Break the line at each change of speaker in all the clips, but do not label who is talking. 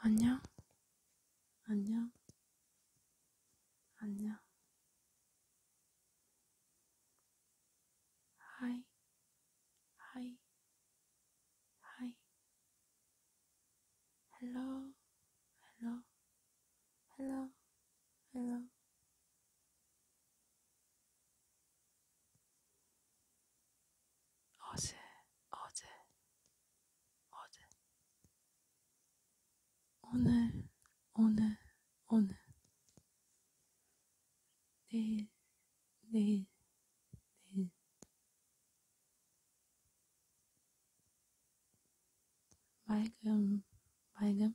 안녕, 안녕, 안녕. 하이, 하이, 하이. 헬로, 헬로, Hello, hello. 어제, 어제, 어제. 오늘, 오늘, 오늘. 내일, 내일, 내일. 맑음, 맑음,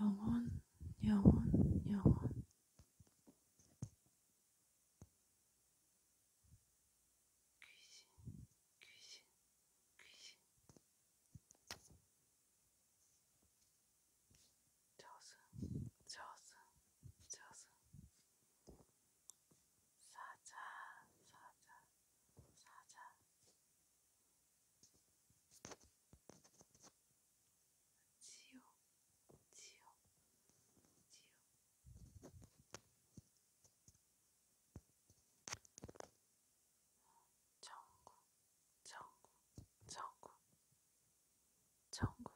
영혼, 영혼, 영혼. 귀신, 귀신, 귀신. 저승, 저승, 저승. 사자, 사자, 사자 지옥 지옥 지옥 천국 천국 천국 천국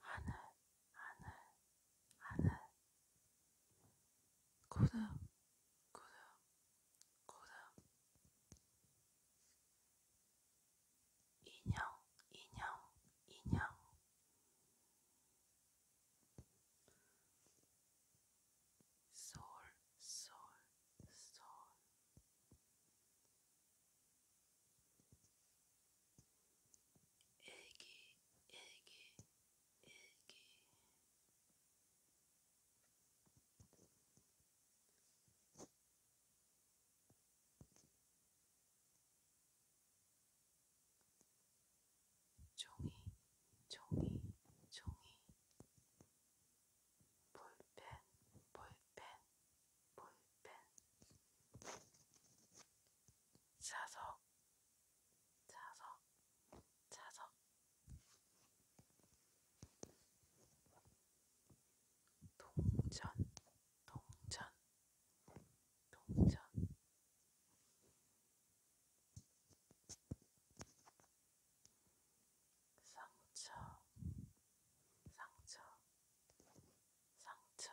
하늘 하늘, 하늘, 구름, 구름, 구름, 인형, 인형, 인형, 솔, 솔, 솔. 일기, 일기, 일기 종이, 종이, 종이 볼펜, 볼펜, 볼펜 자석, 자석, 자석. 동전, 동전, 동전. 상처, 상처, 상처,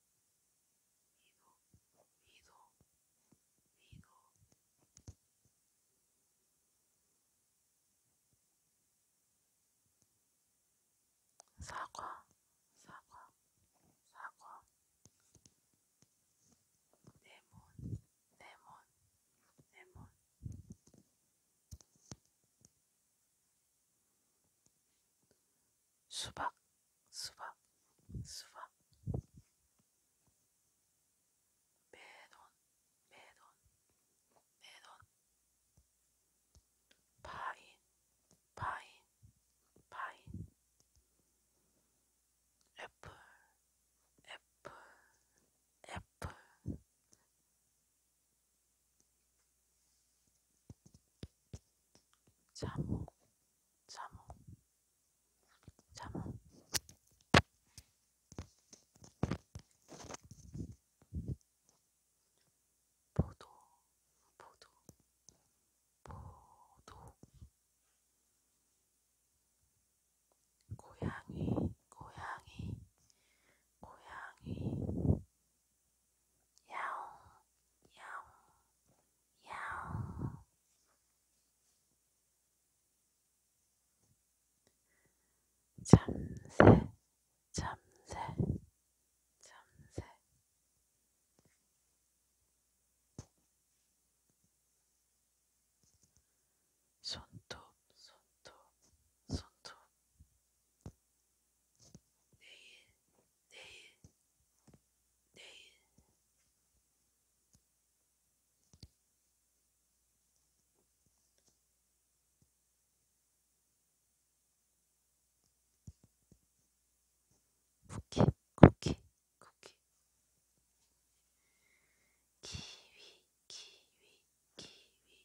사과, 사과, 사과. 레몬, 레몬, 레몬. 수박, 수박, 수박. 매돈, 매돈, 매돈. 파인, 파인, 파인. 애플, 애플, 애플. 자몽 자몽 자몽 포도 포도 포도 고양이 고양이 고양이 야옹, 야옹, 야옹. 잠새, 잠새, 잠새. 손톱, 손톱, 손톱. 내일, 내일, 내일. 쿠키, 쿠키, 쿠키. 키위, 키위, 키위.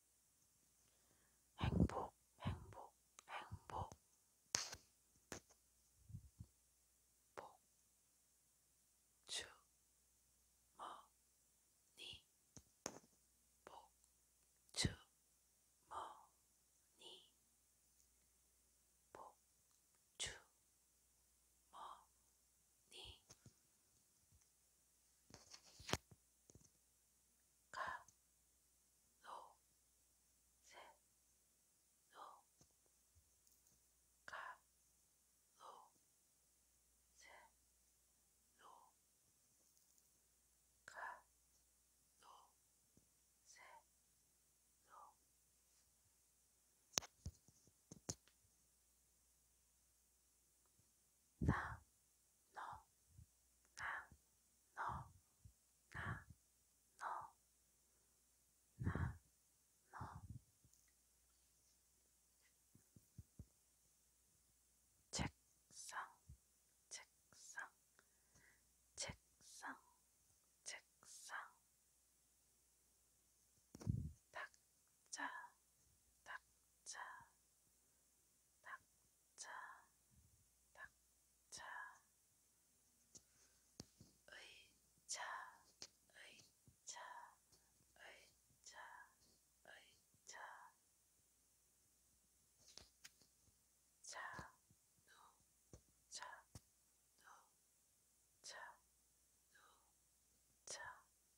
행복, 행복, 행복. 복, 주, 머, 니. 복, 주, 머, 니. 복, 주, 머, 니. 가, 노, 세, 노, 가, 노, 세, 노, 가, 노, 세, 노. 나, 너, 나, 너, 나, 너, 나, 너. 책상, 책상, 책상, 책상. 닥자, 닥자, 닥자. 낙차, 의자, 의자, 의자, 의자, 자, 노, 자, 노, 자, 노, 자, 흰색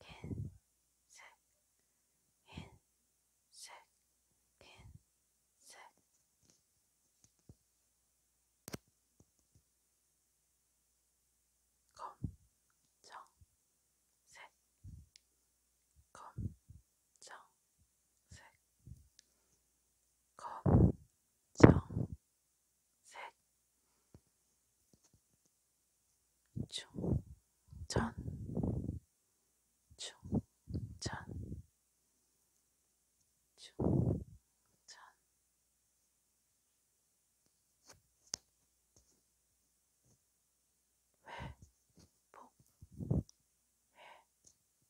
흰색 흰색 흰색 검정색 검정색 검정색 셋, 충, 전, 충, 전, 충, 전. 회복,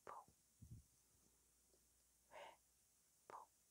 회복, 회복.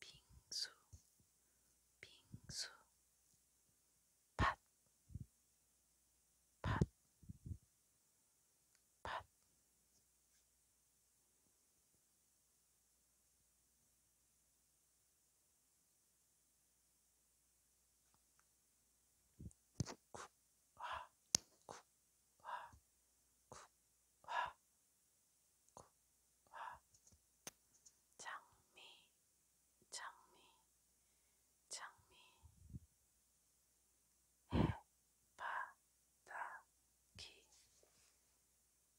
빙수, 빙수, 팥, 팥, 팥. 국화, 국화, 국화, 국화 장미 장미 장미 해바라기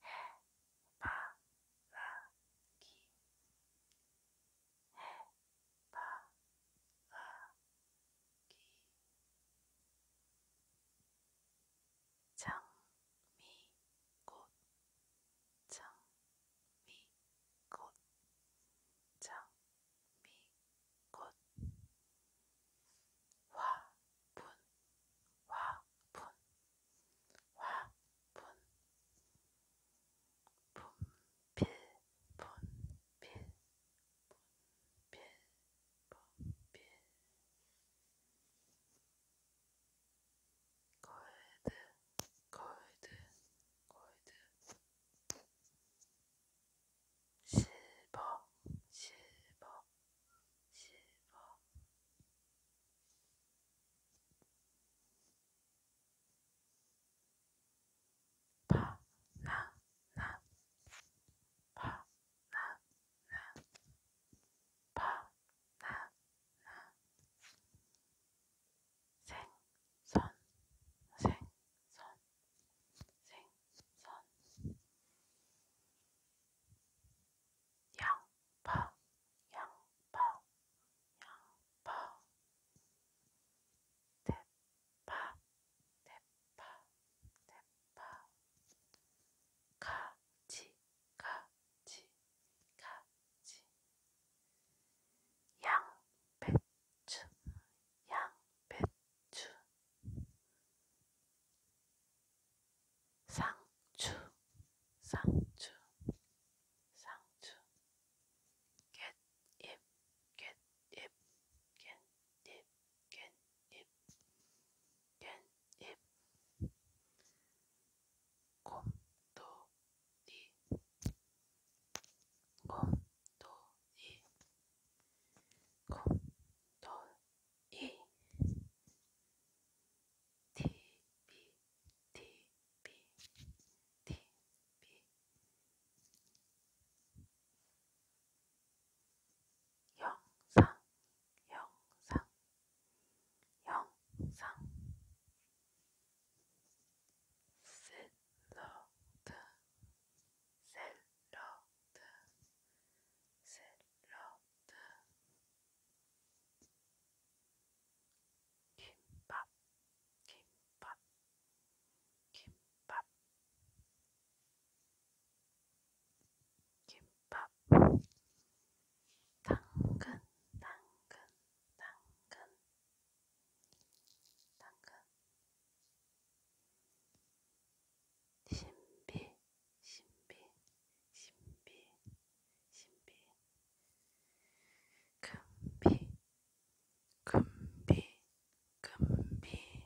해바라기 해바라기 장미꽃 장미꽃 장미꽃 화분 화분 화분 분필 분필 분필 펌필 골드 골드 골드 실버 실버 실버 바나나 바나나 바나나 생선 생선 생선 양파 양파 양파 대파 대파 대파 파, 가지, 가지, 가지. 양, 배추, 양, 배추. 상추, 상추, 상추. 깻잎, 깻잎, 깻잎, 깻잎. 깻잎 곰돌이 곰돌이 곰돌이 TV TV TV 영상, 영상, 영상. 샐러드, 샐러드, 샐러드. 김밥, 김밥, 김밥. 김밥 김밥 당근 당근 당근 당근 신비 신비 신비 신비 금비 금비 금비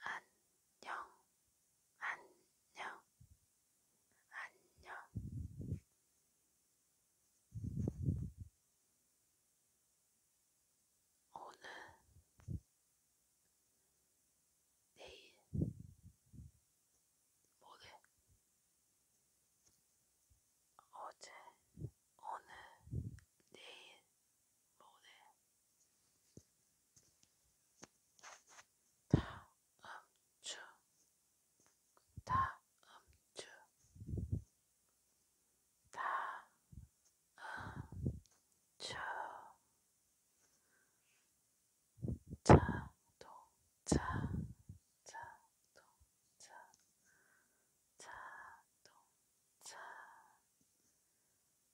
안녕, 안녕, 안녕. 오늘, 내일, 모레, 어제, 오늘, 내일, 모레 다음 주 다음 주 다음 주 자동차 자동차 자동차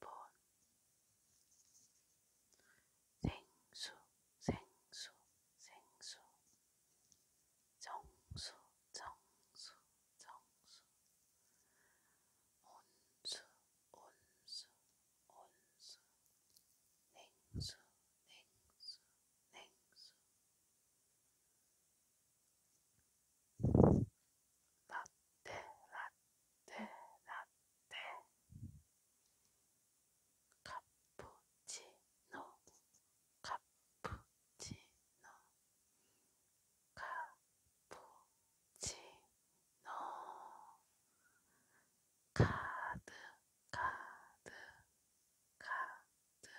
본 생수 생수 생수 정수 정수 정수 온수 온수 온수 냉수 냉수 냉수 낫てなてなてカプチーノカプチーノカプチーノカードカードカード